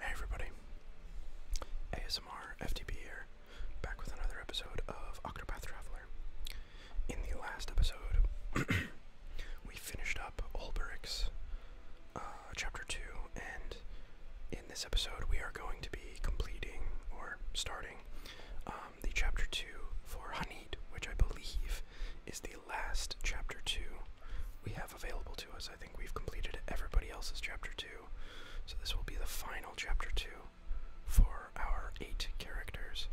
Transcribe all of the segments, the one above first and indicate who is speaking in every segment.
Speaker 1: Hey everybody, ASMR FTP here, back with another episode of Octopath Traveler. In the last episode, we finished up Olberic's uh, Chapter 2, and in this episode we are going to be completing, or starting, um, the Chapter 2 for Hanid, which I believe is the last Chapter 2 we have available to us. I think we've completed everybody else's chapter 2. So this will be the final chapter 2 for our 8 characters.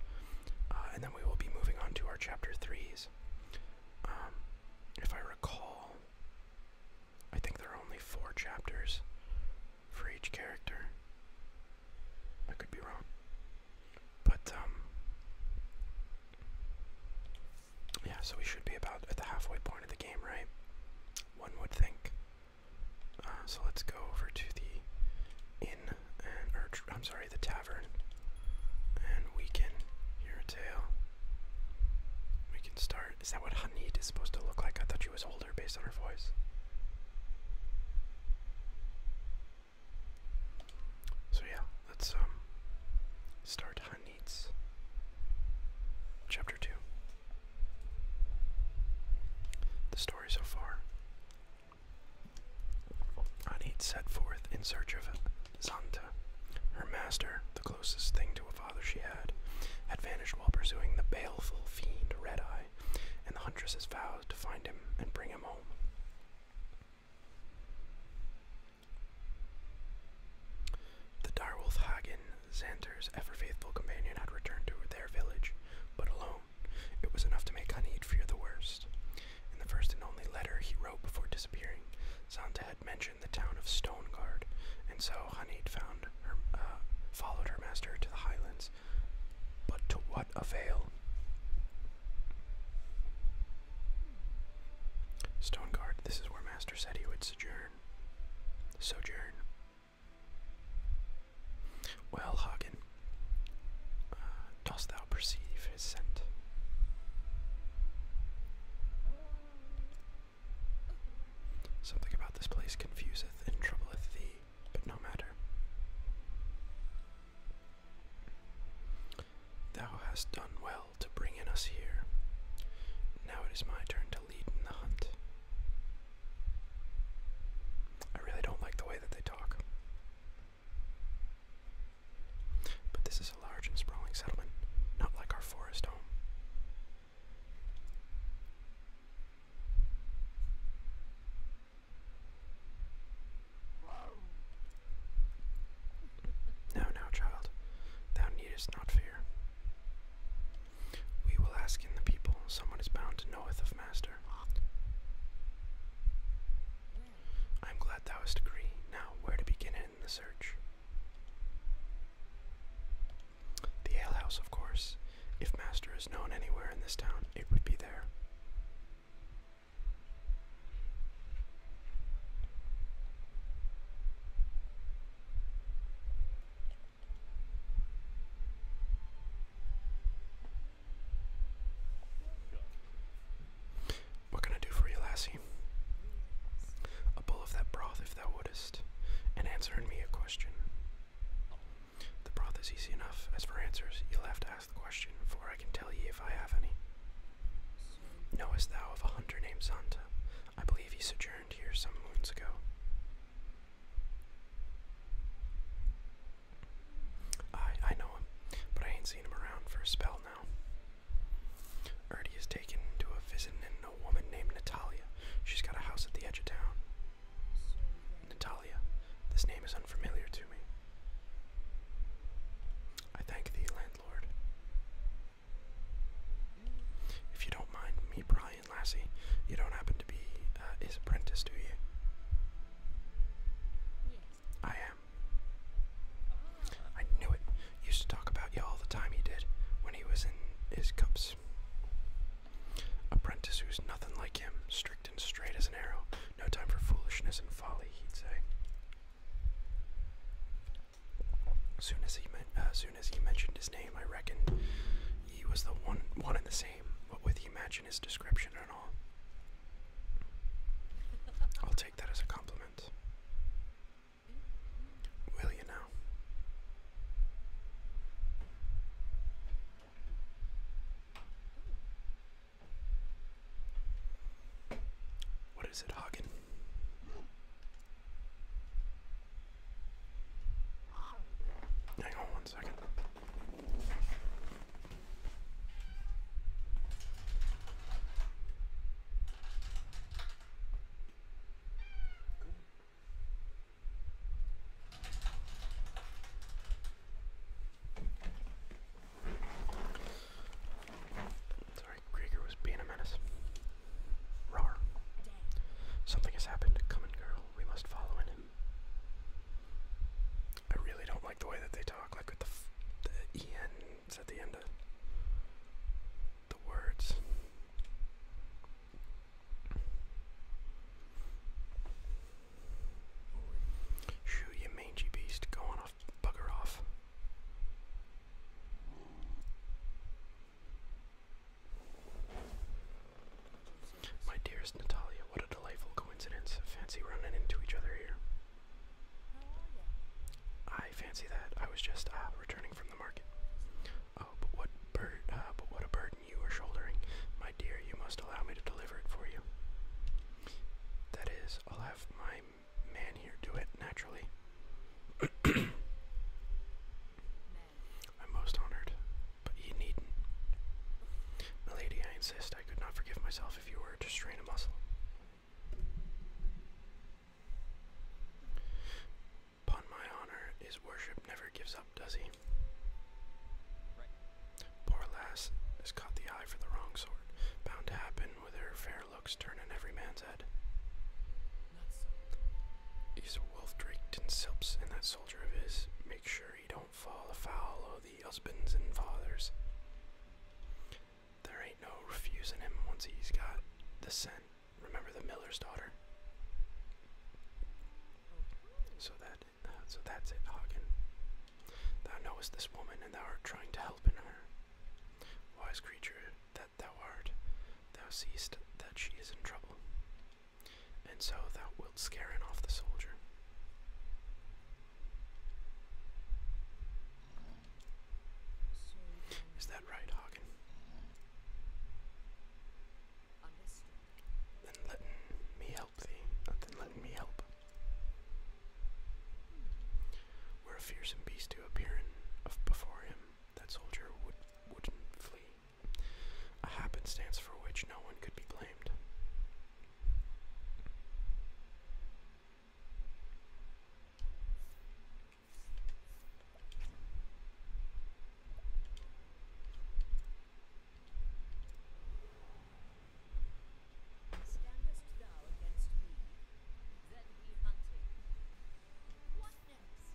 Speaker 1: Uh, and then we will be moving on to our chapter 3s. Um, if I recall, I think there are only 4 chapters for each character. I could be wrong. But, um, yeah, so we should be about at the halfway point of the game, right? One would think. Uh, so let's go over to the inn and or I'm sorry, the tavern, and we can hear a tale. We can start. Is that what Hanid is supposed to look like? I thought she was older based on her voice. So yeah, let's um start needs. Chapter 2 The story so far. Anit set forth in search of Zanta. Her master, the closest thing to a father she had, had vanished while pursuing the baleful fiend Red Eye, and the huntress vows to find him and bring him home. The direwolf Hagen, Xanter's ever-faithful companion, had returned to their village, but alone. It was enough to make Hanid fear the worst. In the first and only letter he wrote before disappearing, Xanta had mentioned the town of Stoneguard, and so Hanid found her, uh, followed her master to the highlands. But to what avail? Stoneguard, this is where Master said he would sojourn. Sojourn. Well, Hagen, uh, dost thou perceive his scent? Something about this place confuseth and troubleth thee, but no matter. Thou hast done well to bring in us here. Now it is my turn to lead in the hunt. I really don't like the way that they talk. But this is a large and sprawling settlement, not like our forest home. Now, now, child, thou needest not fear. We will ask in the people, someone is bound to knoweth of master. I am glad thou hast agreed. Now, where to begin in the search? The alehouse, of course. If master is known anywhere in this town, it would be there. What can I do for you, lassie? A bowl of that broth, if thou wouldest, and answering me a question. The broth is easy enough. As for answers, you'll have to ask the question, for I can tell ye if I have any. Knowest thou of a hunter named Santa, I believe he sojourned here some moons ago. I I know him, but I ain't seen him around for a spell now. Erdy is taken to a visit in a woman named Natalia. She's got a house at the edge of town. Natalia, this name is unfamiliar to me. I thank thee, landlord. If you don't mind me prying, Lassie, you don't happen to be uh, his apprentice, do you? I am. I knew it. used to talk about you all the time. He did when he was in his cups. Apprentice who's nothing like him, strict and straight as an arrow. No time for foolishness and folly, he'd say as uh, soon as he mentioned his name, I reckon he was the one, one and the same, but with he matching his description at all. I'll take that as a compliment. Will you now? What is it, Hagen? Hang on one second. Sorry, Krieger was being a menace. Rar. Something has happened. Come girl, we must follow in him. I really don't like the way that they talk, like with the, f the ENs at the end of the words. Shoot, you mangy beast. Go on off, bugger off. My dearest Natalia, what a delightful coincidence. Fancy running into each other here. I fancy that. I was just uh, returning from the market. Oh, but what uh, burden you are shouldering, my dear. You must allow me to deliver it for you. That is, I'll have my man here do it naturally. I'm most honored, but ye needn't. Milady, I insist, I could not forgive myself if you were to strain a muscle. Upon my honor, his worship never gives up, does he? Poor lass has caught the eye for the wrong sort, bound to happen with her fair looks turn in every man's head. He's a wolf draped in silks, and that soldier of his, make sure he don't fall afoul of the husbands and fathers. There ain't no refusing him once he's got the scent. Remember the miller's daughter. So that, so that's it, Hagen. Thou knowest this woman, and thou art trying to help in her. Wise creature, thou thou art, thou seest that she is in trouble, and so thou wilt scare in off the soldier. Is that right, Hagen? Then let me help thee. Uh, then let me help. Were a fearsome beast to appear of before him, that soldier would, wouldn't flee, a happenstance for which no one could be blamed.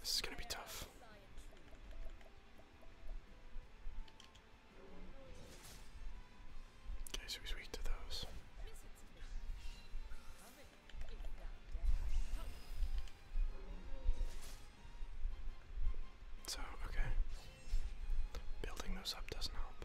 Speaker 1: This is going to be tough. Okay, so weak to those. So, okay. Building those up doesn't help.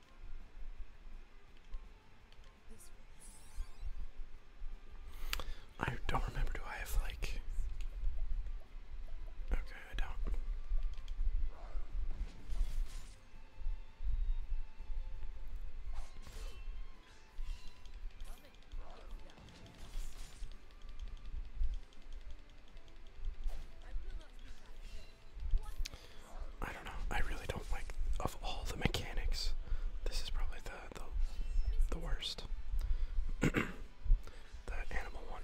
Speaker 1: I don't remember. Do I have like? Okay, I don't. I don't know. I really don't like of all the mechanics. This is probably the the, worst. the animal one.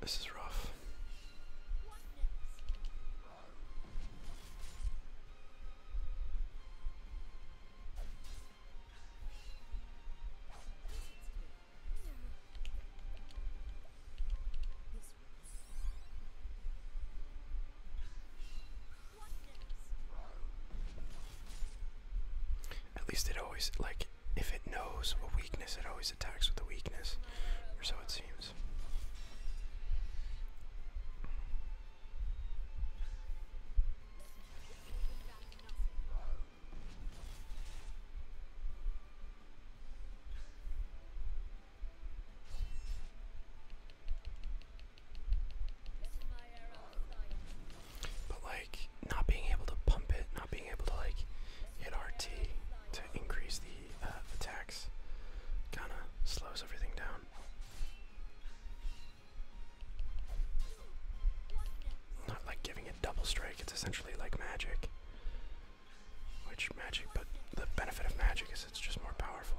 Speaker 1: This is rough. At least it always, like, if it knows a weakness, it always attacks with a weakness, or so it seems. But like not being able to pump it, not being able to like hit RT to increase the uh, attacks, kind of slows everything down. Not like giving it double strike, it's essentially like magic. Which magic, but the benefit of magic is it's just more powerful.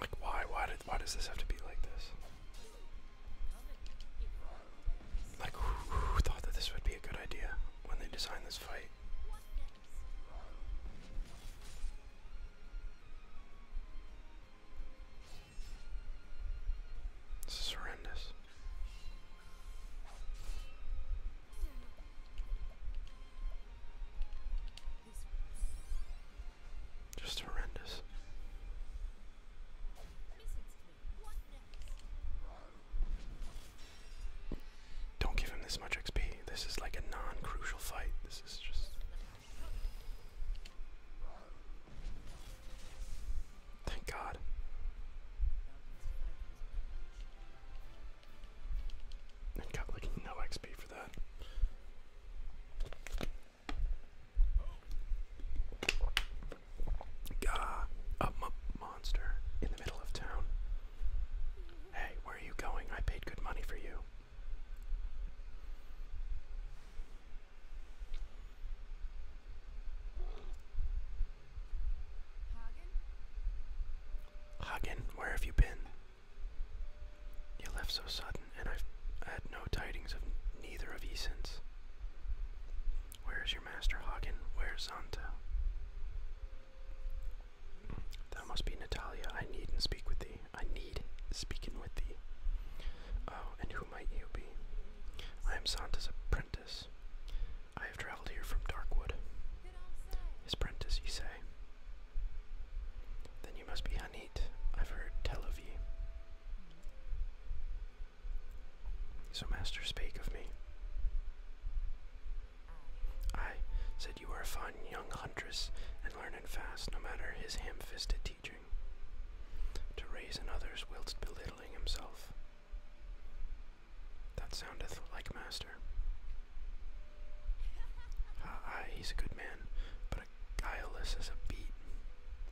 Speaker 1: Like why? Why did why does this have to be like this? Like who thought that this would be a good idea? when they design this fight. This horrendous. Just horrendous. Don't give him this much XP. This is like a non crucial fight. This is just. Thank God. I got like no XP for that. Gah, up, up, monster in the middle of town. Hey, where are you going? I paid good money for you. Hagen, where have you been? You left so sudden, and i had no tidings of neither of ye since. Where is your master, Hagen? Where is Zanta? That must be Natalia. I need and speak with thee. I need speaking with thee. Oh, and who might you be? I am Santa's apprentice. I have travelled here from Darkwood. His apprentice, you say? Then you must be Hanit. I've heard tell of ye. So Master spake of me. I said you were a fine young huntress and learning fast, no matter his ham-fisted teaching. To raise in others whilst belittling himself. That soundeth like master. Ah, he's a good man, but a guileless as a beat.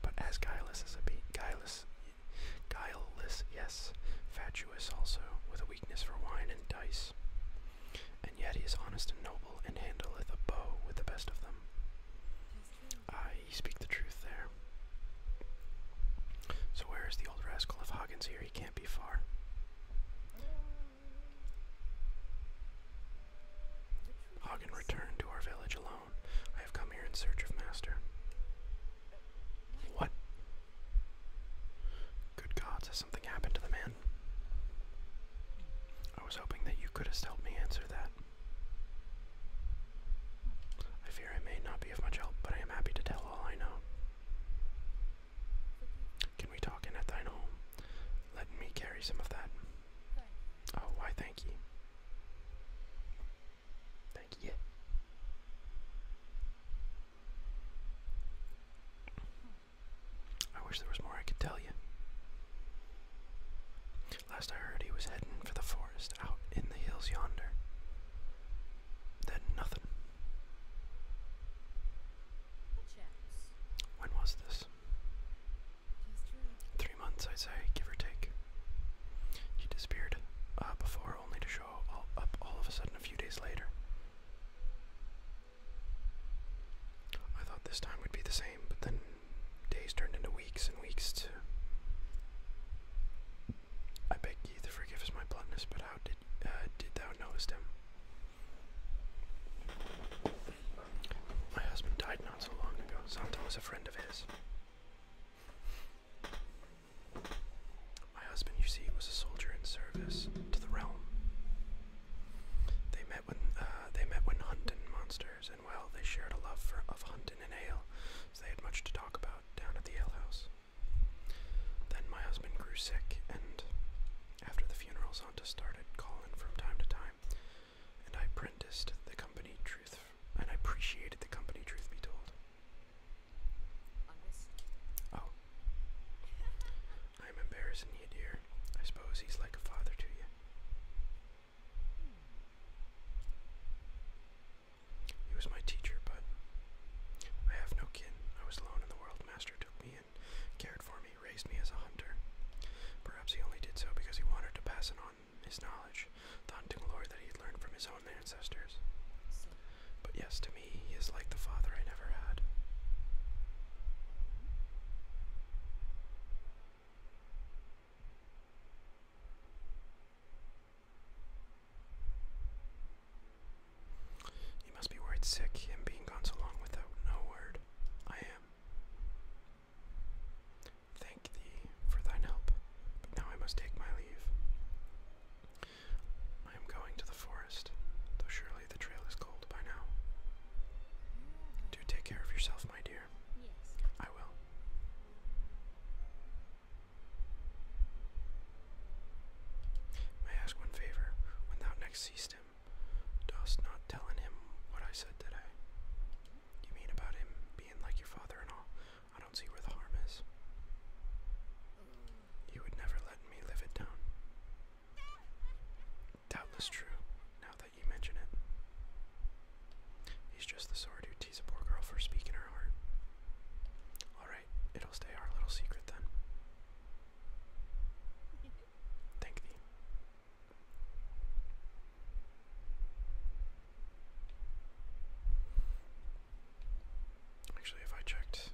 Speaker 1: But as guileless as a beat, guileless Guileless, yes, fatuous also, with a weakness for wine and dice. And yet he is honest and noble, and handleth a bow with the best of them. Aye, ye speak the truth there. So where is the old rascal? of Hawkins here, he can't be far. Hagen returned to our village alone. I have come here in search of master. What? Good gods, has something happened to the man? I was hoping that you could have helped me answer that. I fear I may not be of much help, but I am happy to tell all I know. Can we talk in at thine home? Let me carry some of that. Oh, why thank you. Thank ye. I wish there was more I could tell you. Last I heard, he was heading for the forest out in the hills yonder. Then nothing. When was this? Three months, I'd say, give or take. She disappeared uh, before only to show up all of a sudden a few days later. I thought this time would be the same, but then days turned into weeks and weeks I beg ye to forgive us my bluntness, but how did uh, did thou knowest him? My husband died not so long ago. Santo was a friend of his. My husband, you see, was a soldier in service to the realm. They met when uh, they met when hunting monsters, and well, they shared a love for of hunting and ale, so they had much to talk about down at the alehouse. Then my husband grew sick, and after the funeral, Santa started calling from time to time, and I apprenticed the company truth, and I appreciated the company. Truth be told, Oh. I'm embarrassing you, dear. I suppose he's like a father to you. He was my teacher, but I have no kin. I was alone in the world. Master took me and cared for me, raised me as a hunter. Perhaps he only did so because he wanted to pass on his knowledge, the hunting lore that he had learned from his own own ancestors. But yes, to me, he is like the father I never had. You must be worried sick, him being gone so long without no word. I am. Thank thee for thine help, but now I must take my leave. I am going to the forest, though surely the trail is cold by now. Do take care of yourself, my dear. Yes. I will. May I ask one favor? When thou next seest him, dost not tell him what I said today. You mean about him being like your father and all? I don't see where the harm is. Oh. You would never let me live it down. Doubtless true, now that you mention it. He's just the sort who teases a poor girl for speaking her heart. Alright, it'll stay our little secret then. Thank thee. Actually, if I checked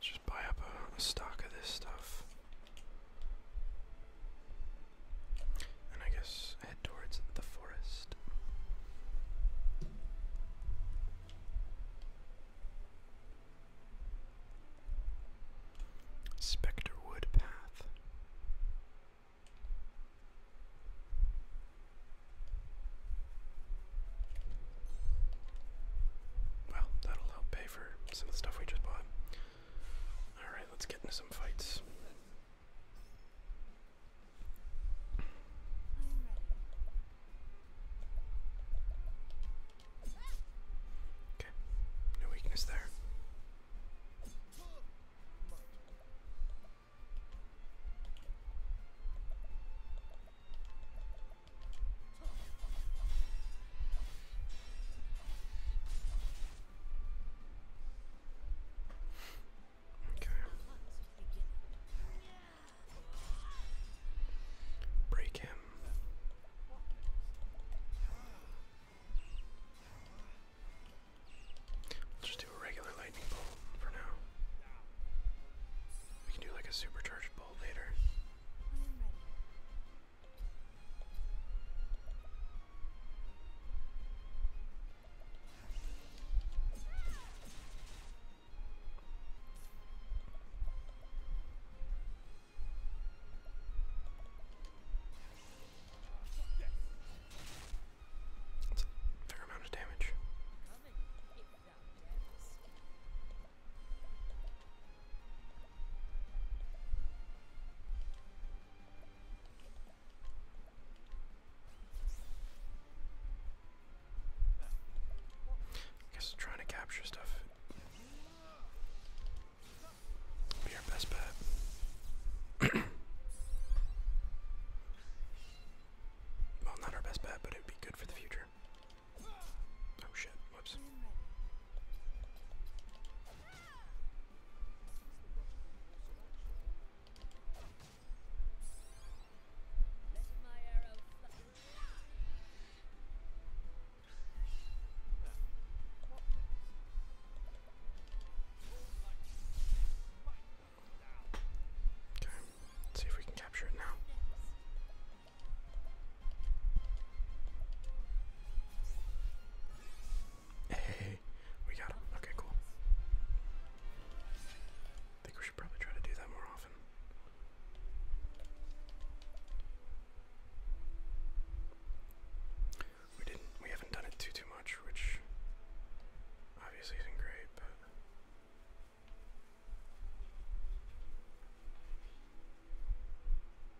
Speaker 1: just buy up a, stock of this stuff. And I guess head towards the forest. Spectre Path. Well, that'll help pay for some of the stuff we just bought. Alright, let's get into some fights. Okay, no weakness there. Okay. Break him. We'll just do a regular lightning bolt for now. We can do like a supercharged bolt later. That's a fair amount of damage. I guess trying to capture stuff be your best bet. well, not our best bet, but it would be good for the future. Oh shit, whoops. Okay, let's see if we can capture it now. Hey, we got him. Okay, cool. I think we should probably try to do that more often. We didn't we haven't done it too too much, which obviously isn't great, but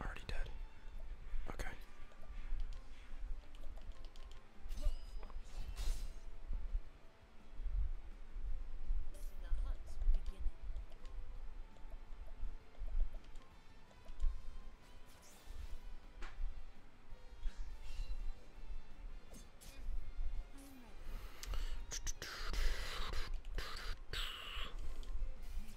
Speaker 1: Already dead. Okay.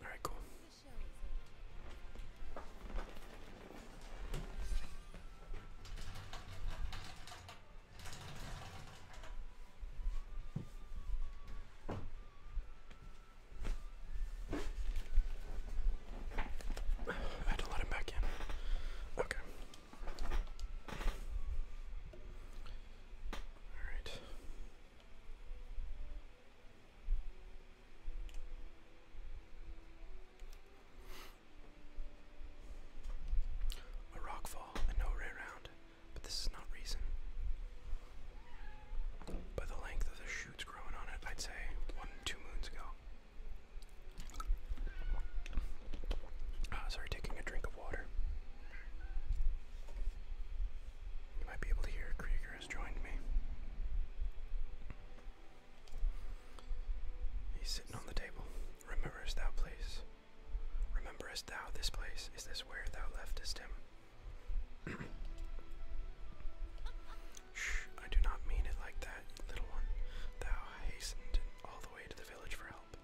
Speaker 1: All right, cool. I had to let him back in. Okay. Alright. A rock fall and no way around. But this is not reason. By the length of the shoots growing on it, I'd say one, two moons ago. Uh, sorry, taking a drink of water. You might be able to hear Krieger has joined me. He's sitting on the table. Rememberest thou place? Rememberest thou this place? Is this where thou leftest him? Shh, I do not mean it like that, little one. Thou hastened all the way to the village for help.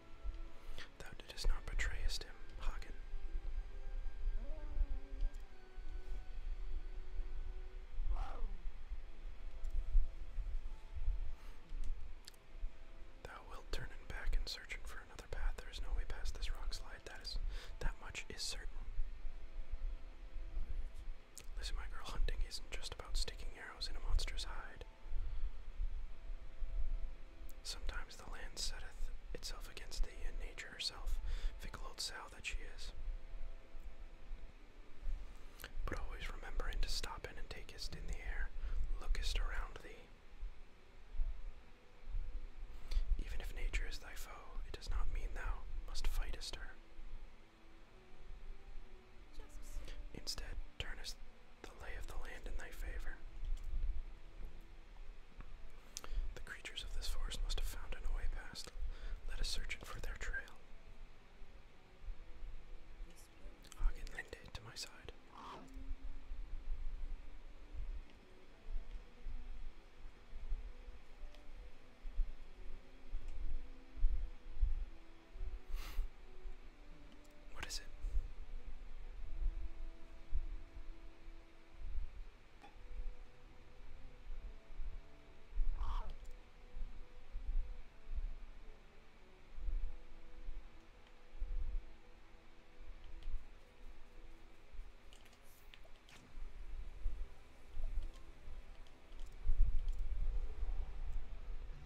Speaker 1: Thou didst not betrayest him, Hagen. Thou wilt turn him back in searching for another path. There is no way past this rock slide. That is that much is certain. Listen, my girl, hunting isn't just about sticking arrows in a monster's hide. Sometimes the land setteth itself against thee, and nature herself, fickle old sow that she is. But always remembering to stop in and takest in the air, lookest around thee. Even if nature is thy foe, it does not mean thou must fight a her. Instead, turnest the lay of the land in thy favor. The creatures of this forest must have found an way past. Let us search it for their trail. Hagen leaned to my side. What is it?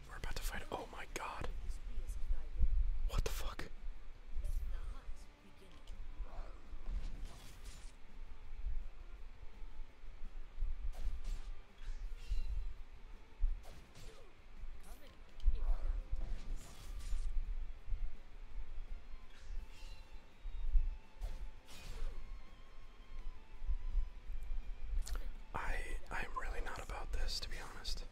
Speaker 1: We're about to fight. Oh my god. What the fuck? I I'm really not about this to be honest.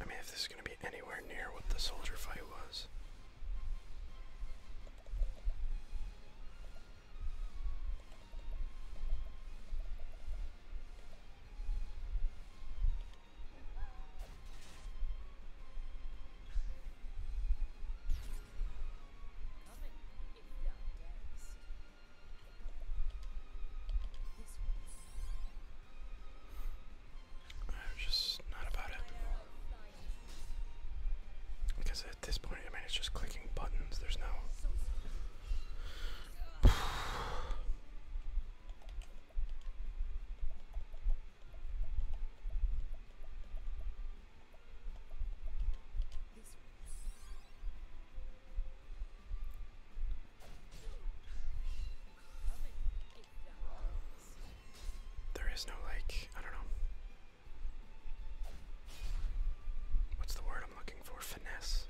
Speaker 1: I mean, if this is going to be anywhere near what the soldier fight was. I'm just not about it. Because at this point, I mean, it's just clicking buttons. There's no. There is no, like, I don't know. What's the word I'm looking for? Finesse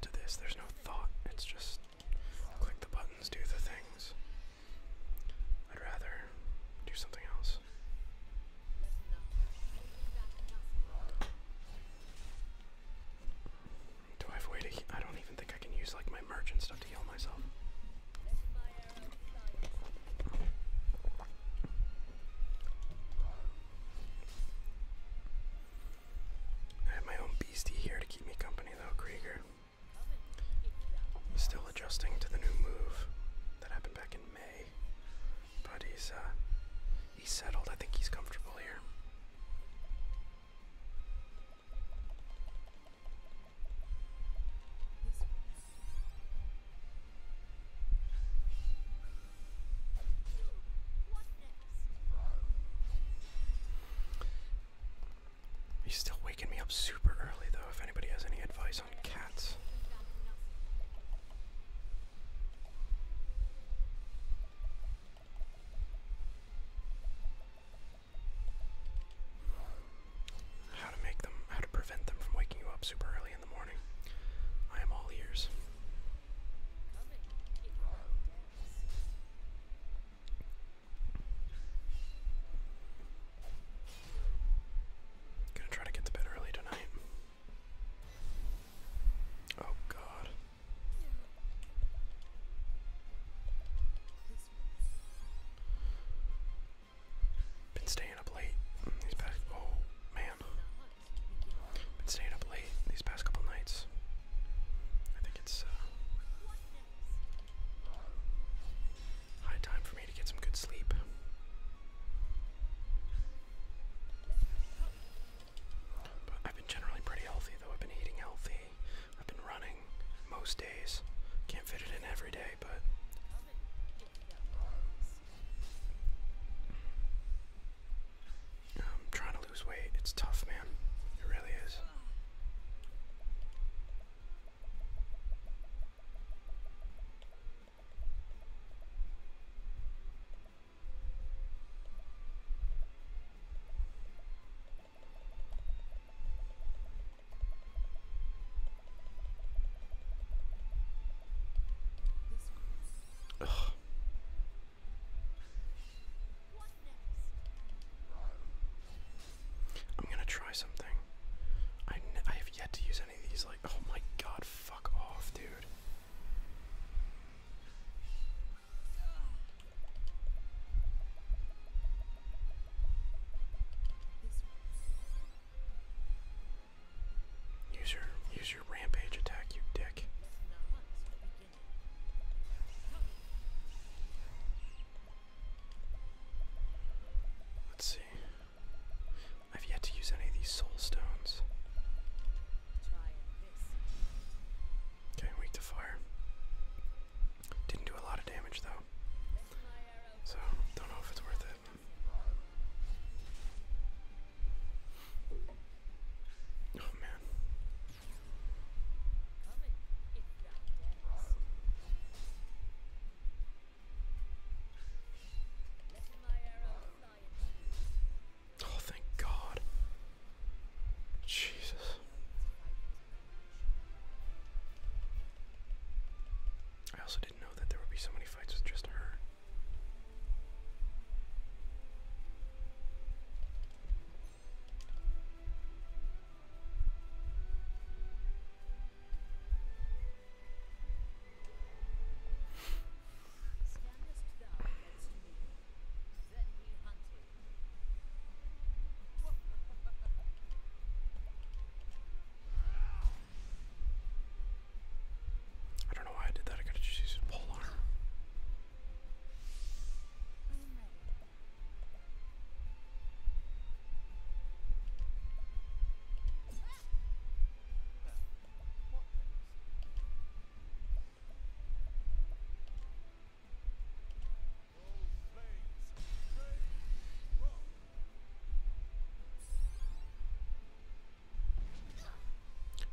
Speaker 1: to this. There's no thought. It's just click the buttons, do the things. I'd rather do something else. Do I have way to I don't even think I can use like my merch and stuff to heal myself. I have my own beastie here to keep me company though, Krieger. Still adjusting to the new move that happened back in May. But he's uh, he's settled. I think he's comfortable here. He's still waking me up super early, though, if anybody has any advice on cats. How to make them, how to prevent them from waking you up super early in the morning. I am all ears. Gonna try to get to bed early tonight. Oh god. Been staying up late these past. Oh man, been staying up late these past couple nights. I think it's uh, high time for me to get some good sleep. I've been generally pretty healthy, though. I've been eating healthy I've been running most days. Can't fit it in every day, but. I'm trying to lose weight. It's tough, man. It really is. Ugh. I'm gonna try something. I, I have yet to use any of these. Like, oh my god, fuck off, dude. Use your use your rampage attack, you dick. Let's see. I've yet to use any of these soul stones. Okay, weak to fire. Didn't do a lot of damage though. So, don't know if it's worth it. Oh man. Oh, thank God. Jesus. I also didn't know that there would be so many fights with just her. I don't know why I did that. I could to just used a pole arm.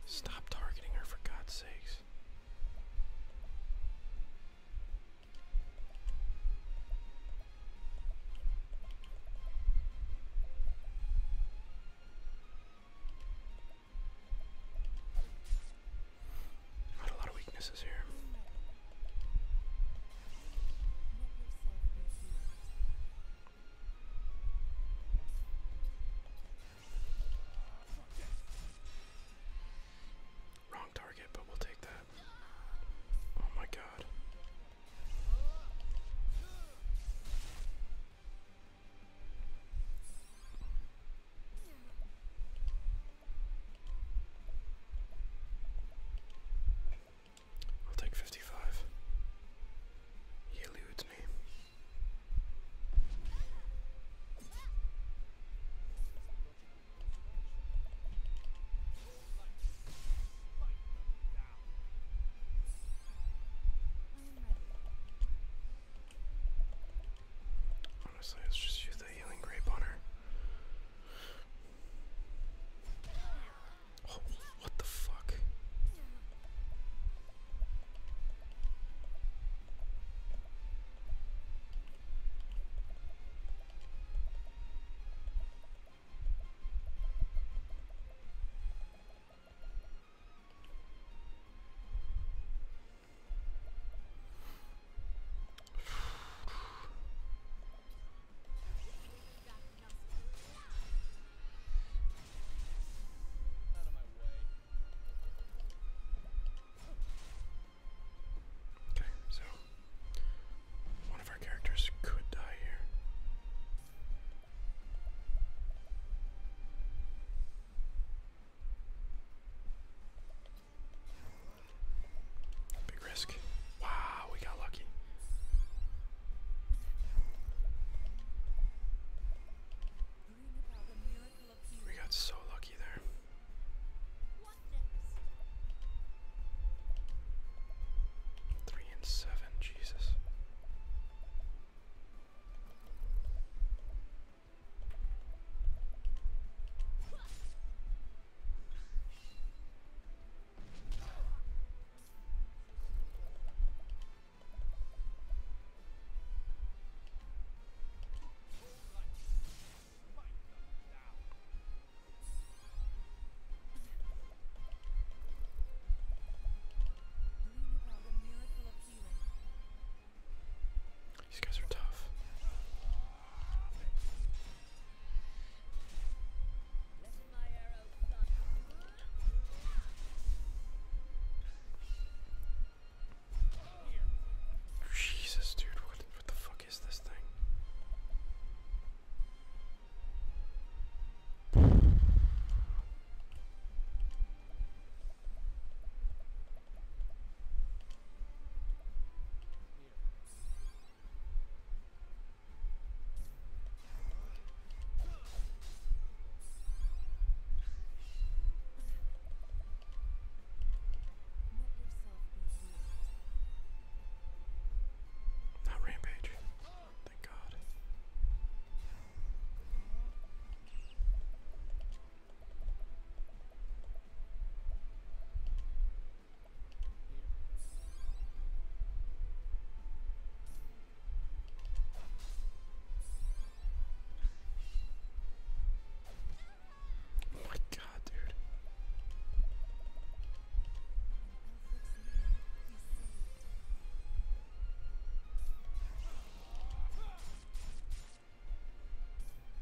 Speaker 1: Stop targeting her for God's sakes. Not a lot of weaknesses here. Wrong target, but we'll take that. Oh my god. I'll take fifty five. He eludes me. Honestly, let's just use the healing grape on her what the fuck? Okay, so one of our characters could die here. Big risk. Wow, we got lucky. We got so lucky there. Three and seven, Jesus. These guys are tough. Jesus, dude, what the fuck is this thing? Not rampage. Thank God. Oh my god, dude.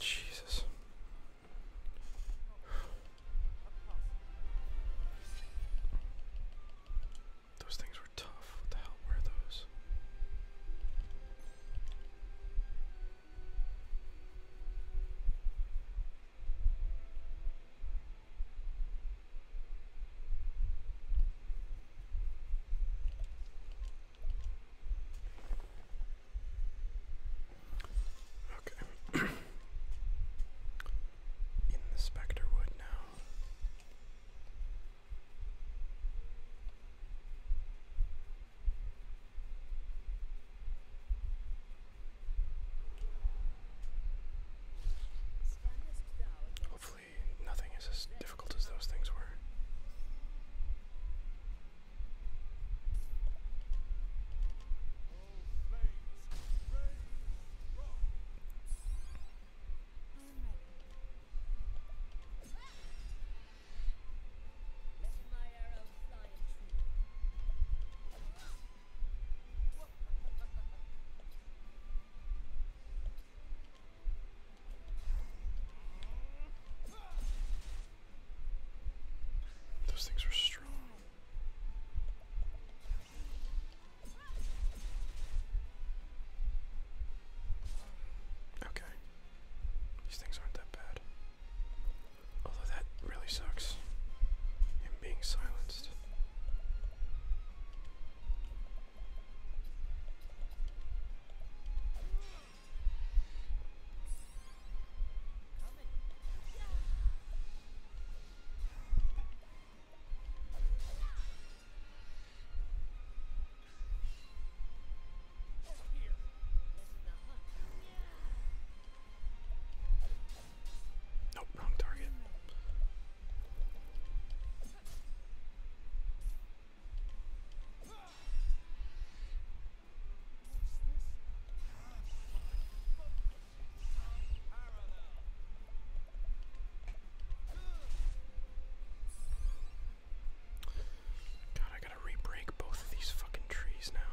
Speaker 1: Jesus. Those things were tough. What the hell were those? Okay. In the Spectre now. Hopefully, nothing is as difficult as those things were. Those things are strong. Okay. These things aren't that bad. Although that really sucks. Him being silenced. Nope, wrong target. God, I gotta re both of these fucking trees now.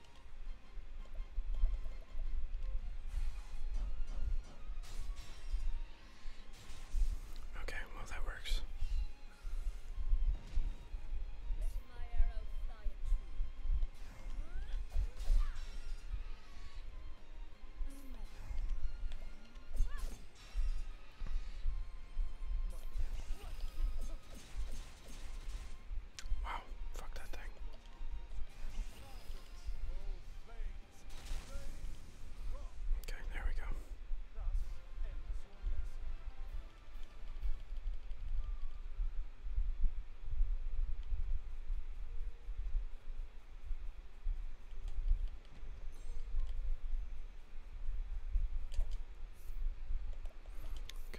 Speaker 1: Okay, well that works. Wow, fuck that thing. Okay, there we go. Okay,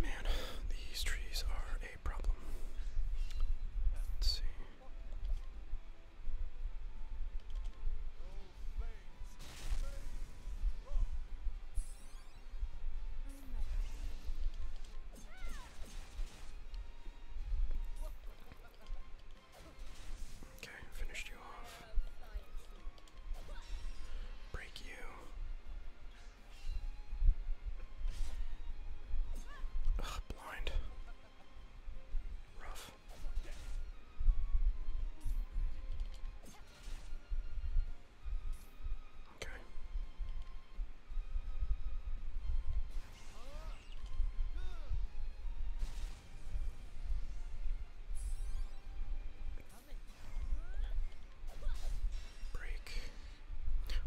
Speaker 1: Man, these trees are a problem. Let's see. Okay, finished you off. Break you. Ugh, blind. Rough. Okay. Break.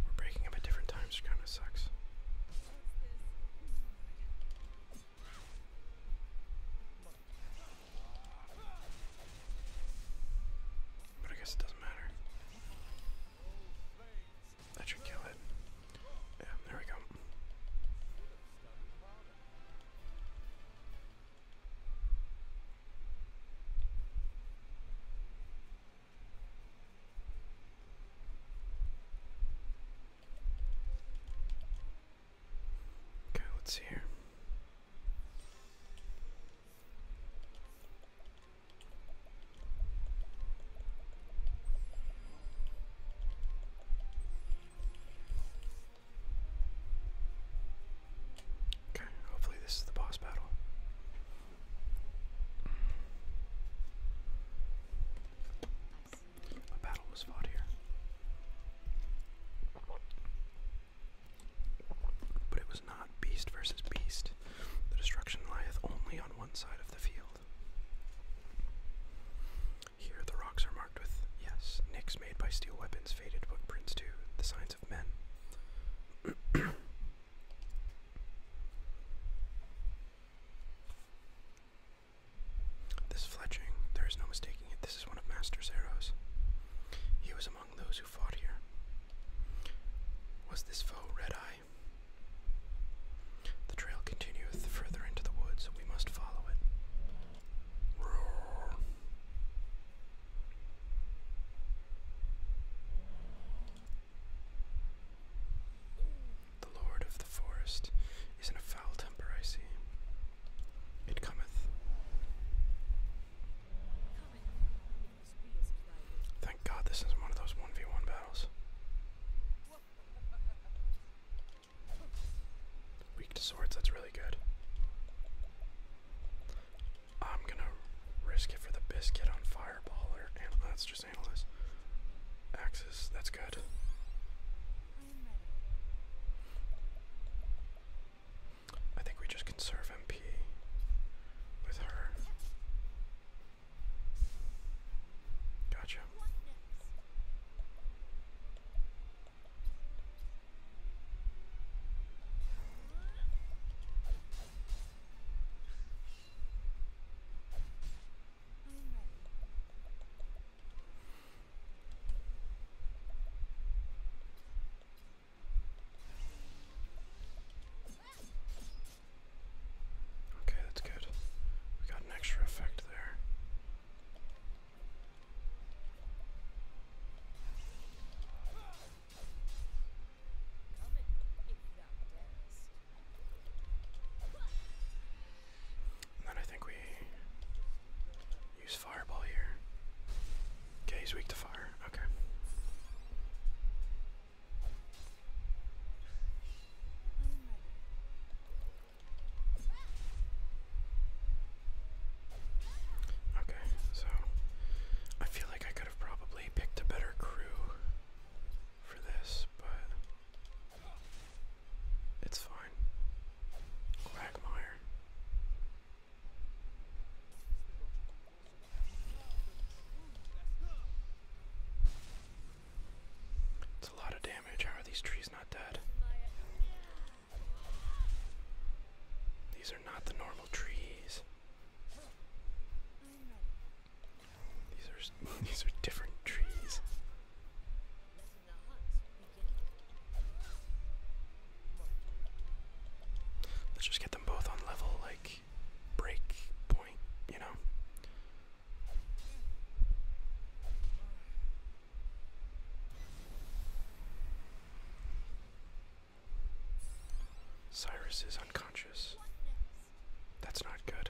Speaker 1: We're breaking up at different times, which kind of sucks. But I guess it doesn't matter. That should kill it. Yeah, there we go. Okay, let's see here. Okay, hopefully this is the boss battle. A battle was fought here. But it was not beast versus beast. The destruction lieth only on one side of the field. Here the rocks are marked with, yes, nicks made by steel weapons, faded footprints too, the signs of men. This fletching, there is no mistaking it, this is one of Master's arrows. He was among those who fought here. Was this foe Red Eye the trail continueth further into the woods, we must follow it. The lord of the forest is in a foul temper, I see. It cometh. Thank God this is one of those 1v1 battles. Weak to swords, that's really good. I'm gonna risk it for the biscuit on fireballer, and that's just analyze. Axis, that's good. I think we just conserve MP with her. Gotcha. Okay, that's good. We got an extra effect there. then I think we use fireball here. Okay, he's weak to fire. Okay. Okay, so I feel like I could have probably picked a better crew for this, but it's fine. Quagmire. It's a lot of damage. How are these trees not dead? These are not the normal trees. These are these are different trees. Let's just get them both on level, like break point, you know. Cyrus is unconscious. That's not good.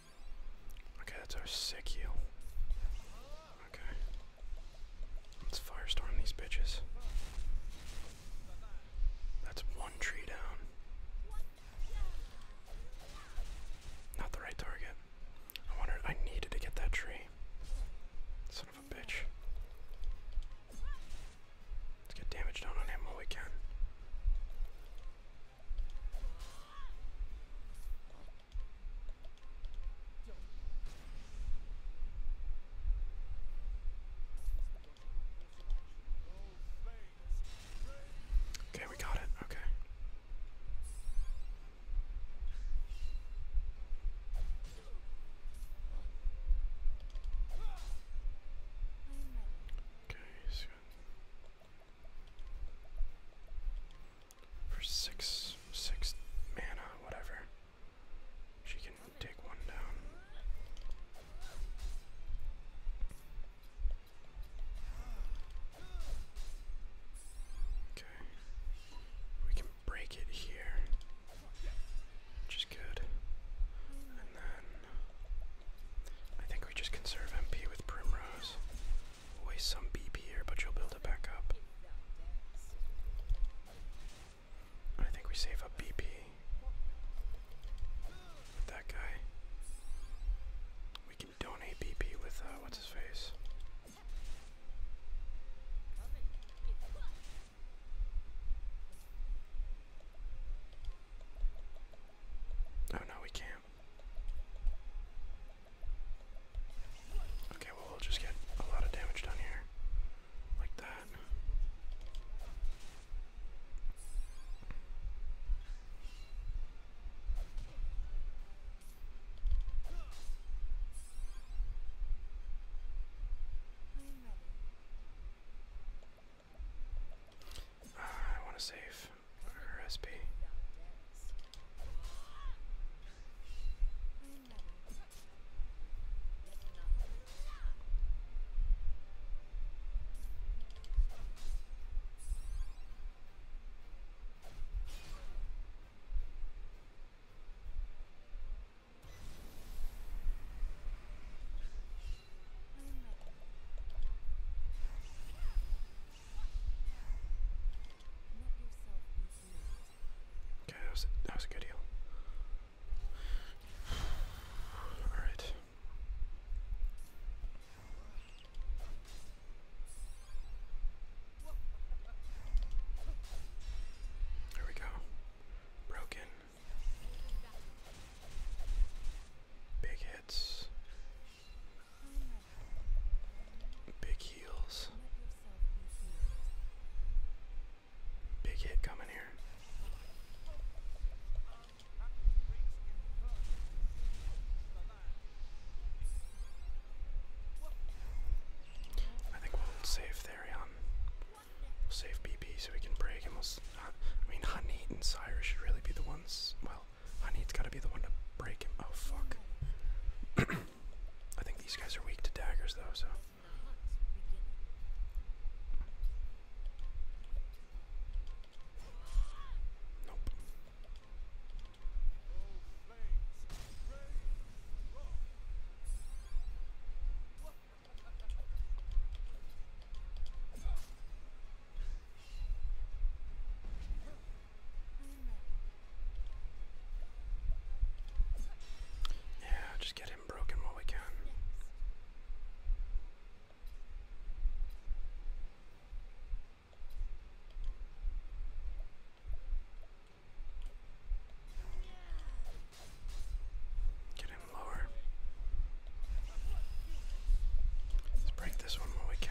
Speaker 1: Okay, that's our sick heal. Okay. Let's firestorm these bitches. That's one tree down. Not the right target. I wanted, I needed to get that tree. Son of a bitch. Let's get damage done on him while we can. Okay, we got it. Okay. Okay, for six, six mana, whatever. She can take one down. Okay. We can break it here. Which is good. And then I think we just conserve MP with Primrose. waste some BP here, but you'll build it back up. I think we save up BP with that guy. We can donate BP with uh, what's his face. Oh no, we can't. Okay, well, we'll just get a lot of damage done here. Like that. I want to save her SP. Okay, that was a, that was a good deal. All right. There we go. Broken. Big hits. Big heels. Big hit coming here. I think we'll save Therion. We'll save BP so we can break and we'll. I mean, Honey and Cyrus should really be the ones. Well, Honey's gotta be the one to break him. Oh fuck. I think these guys are weak to daggers though, so. Nope. Yeah, just get him broken while we can. Get him lower. Let's break this one while we can.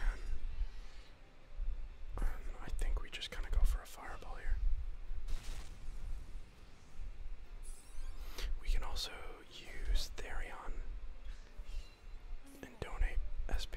Speaker 1: I think we just kind of go for a fireball here. We can also use Therion and donate SP.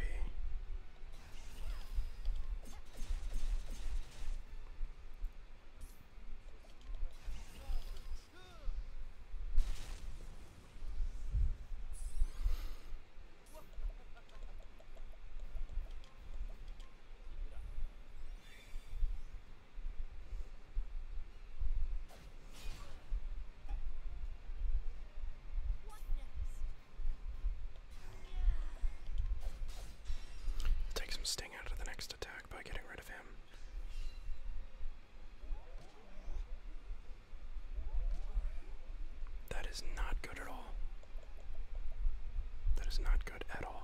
Speaker 1: Take some sting out of the next attack by getting rid of him. That is not good at all. That is not good at all.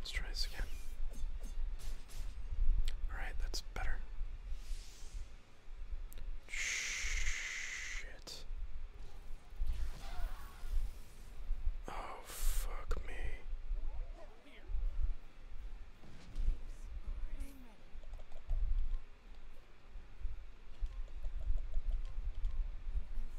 Speaker 1: Let's try this again. Alright, that's better. Shit. Oh, fuck me.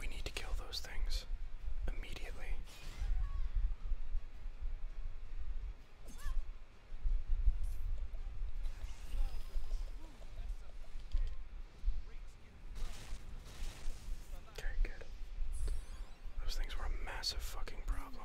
Speaker 1: We need to kill those things immediately. Okay, good. Those things were a massive fucking problem.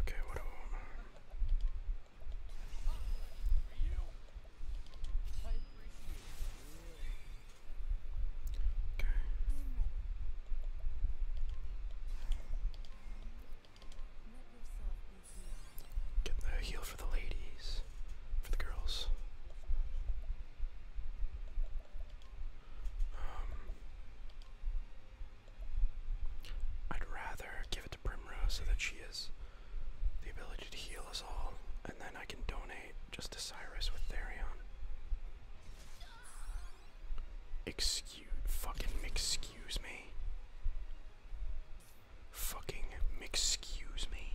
Speaker 1: Okay, what Okay. Get the heel for the ladies, for the girls. Um, I'd rather give it to Primrose so that she has the ability to heal us all, and then I can donate just to Cyrus with Therion. Excuse, fucking excuse me. Fucking excuse me.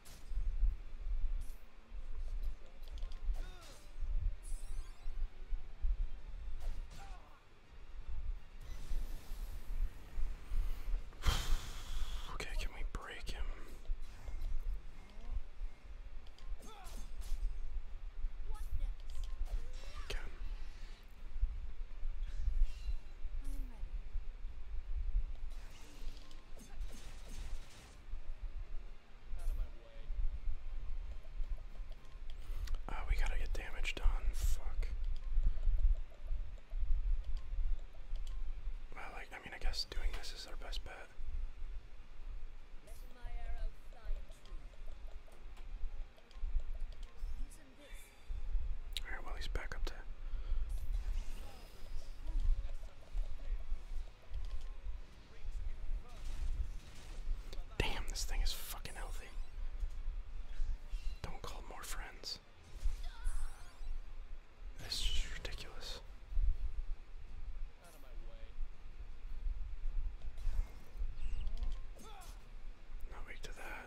Speaker 1: okay, can we break him? Okay. Oh, we gotta get damage done. Fuck. Well, like, I mean, I guess doing this is our best bet. Alright, well, he's back up to Damn, this thing is fucking healthy. Don't call more friends. This is ridiculous. Out way. to that.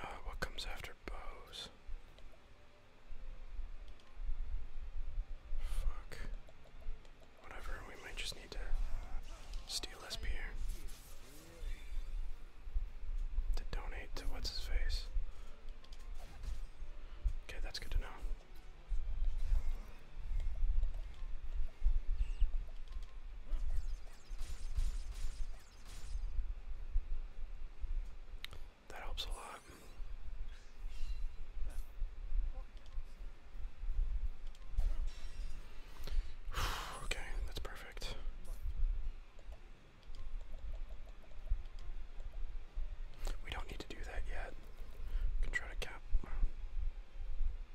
Speaker 1: Uh, what comes after bows? Fuck. Whatever, we might just need to steal this beer. To donate to what's his face. Okay, that's good to know. That helps a lot. okay, that's perfect. We don't need to do that yet. can try to cap.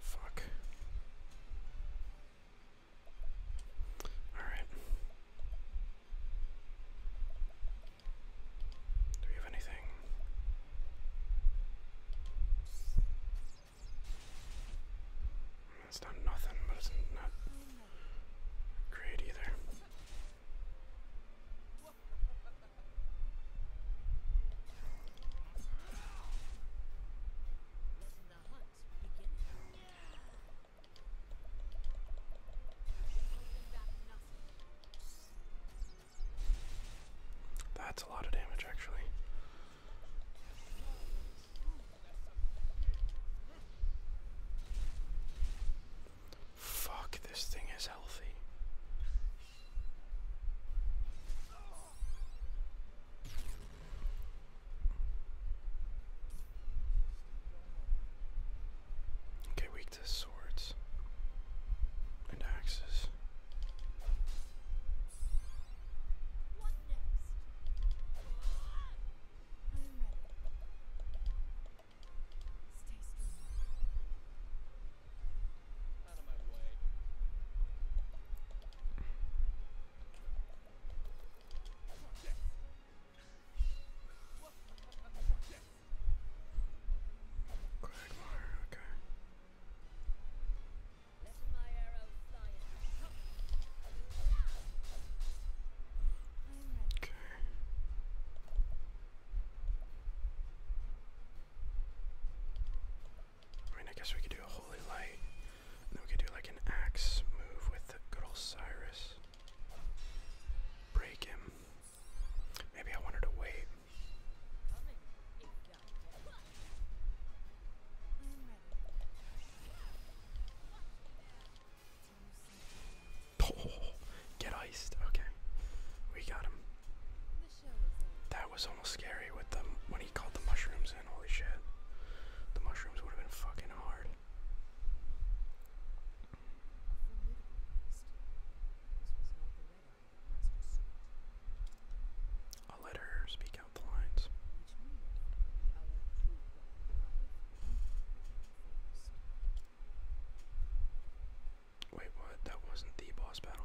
Speaker 1: Fuck. Alright. Do we have anything? It's not nothing, but it's not great either. That's a lot of damage, actually. Fuck, this thing is healthy. Okay, weak to swords and axes. Quagmire, okay. Let my arrow fly in. Okay. I guess we could do a holy light, then we could do like an axe move with good old Cyrus. Break him. Maybe I wanted to wait. get iced. Okay, we got him. That was almost scary with them when he called the mushrooms in. Holy shit. The mushrooms would have been fucking hard. let her speak out the lines. Wait, what? That wasn't the boss battle.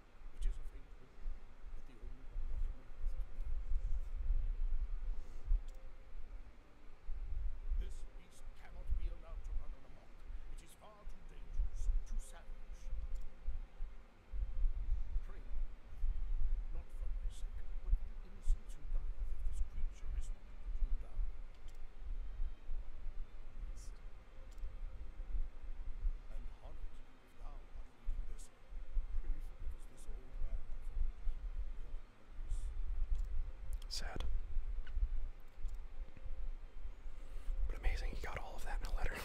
Speaker 1: This beast cannot be allowed to run amok. It is far too dangerous, too savage. Pray, not for my but for the innocents who die this creature is not put down. And Hornet Sad. But amazing, he got all of that in a letter.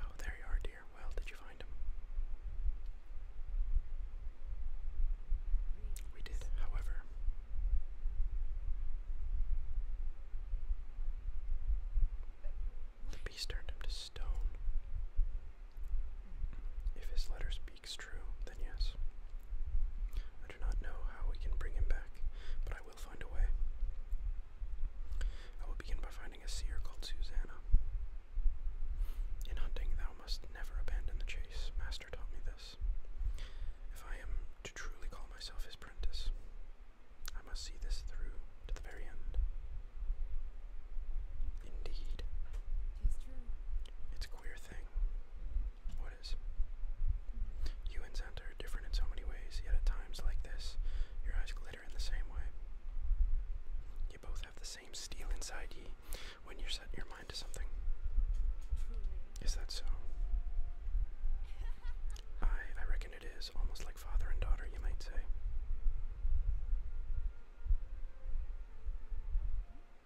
Speaker 1: Oh, there you are, dear. Well, did you find him? We did, however. The beast turned him to stone. If his letter speaks true, then yes. I do not know how we can bring him back, but I will find a way. I will begin by finding a seer called Susanna. In hunting, thou must never abandon the chase. Master taught me this. If I am to truly call myself his prentice, I must see this through to the very end. Indeed. It's a queer thing. What is? You and Zander are different in so many ways, yet at times like this, your eyes glitter in the same way. You both have the same steel inside ye when you are set your mind to something. Is that so? I I reckon it is, almost like father and daughter, you might say.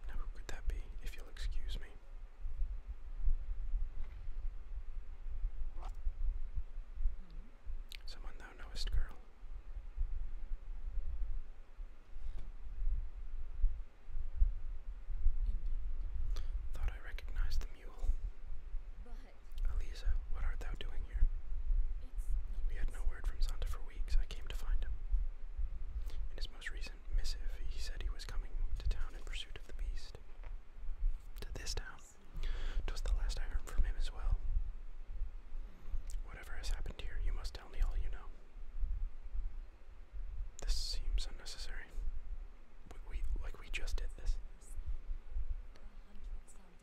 Speaker 1: Now, who could that be, if you'll excuse me? Someone thou girl. Thought I recognized the mule. But what art thou doing we had no word from Santa for weeks. I came to find him. In his most recent missive, he said he was coming to town in pursuit of the beast. To this town. 'Twas the last I heard from him as well. Whatever has happened here, you must tell me all you know. This seems unnecessary. we like we just did this.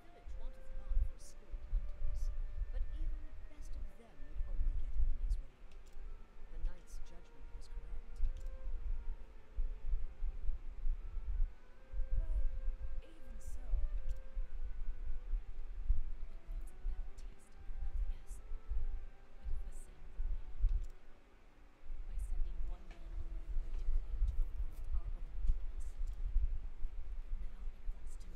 Speaker 1: village wanted not for hunters, but even the best of them would only get in his way. The knight's judgment was correct. But even so, by sending one man away, we declare the world our own capacity. Now it falls to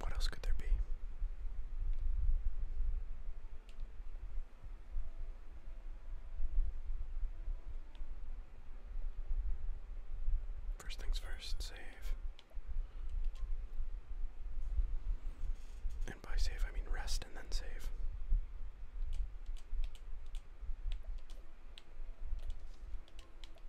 Speaker 1: What else could there be? First things first, save. And by save, I mean rest and then save.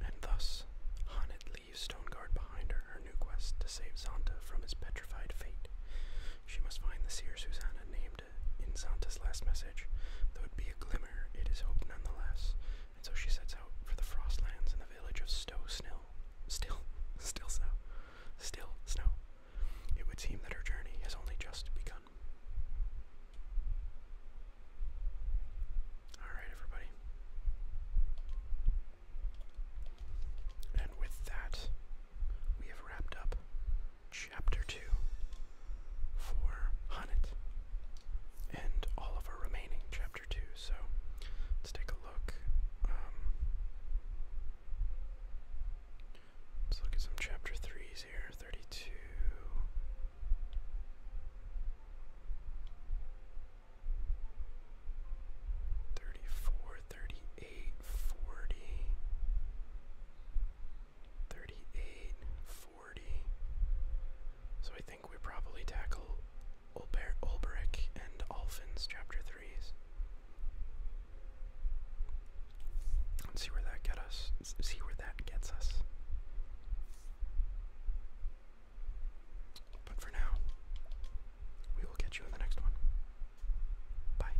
Speaker 1: And thus, Hannet leaves Stoneguard behind her her new quest to save Zonta from his petrified fate. She must find the seer Susanna named in Santa's last message, there would be a glimmer, it is hope nonetheless. And so she sets out for the Frostlands in the village of Stow Snill. Still, still snow. Still snow. It would seem that her journey has only just begun. Alright, everybody. And with that, we have wrapped up Chapter 2 for Hunnit and all of our remaining Chapter 2. So let's take a look. Um, let's look at some Chapter 3s here 32. 38, So I think we probably tackle Ulber Ulbrich and Alfin's chapter 3s. Let's see where that get us. See where that gets us. But for now, we will catch you in the next one. Bye.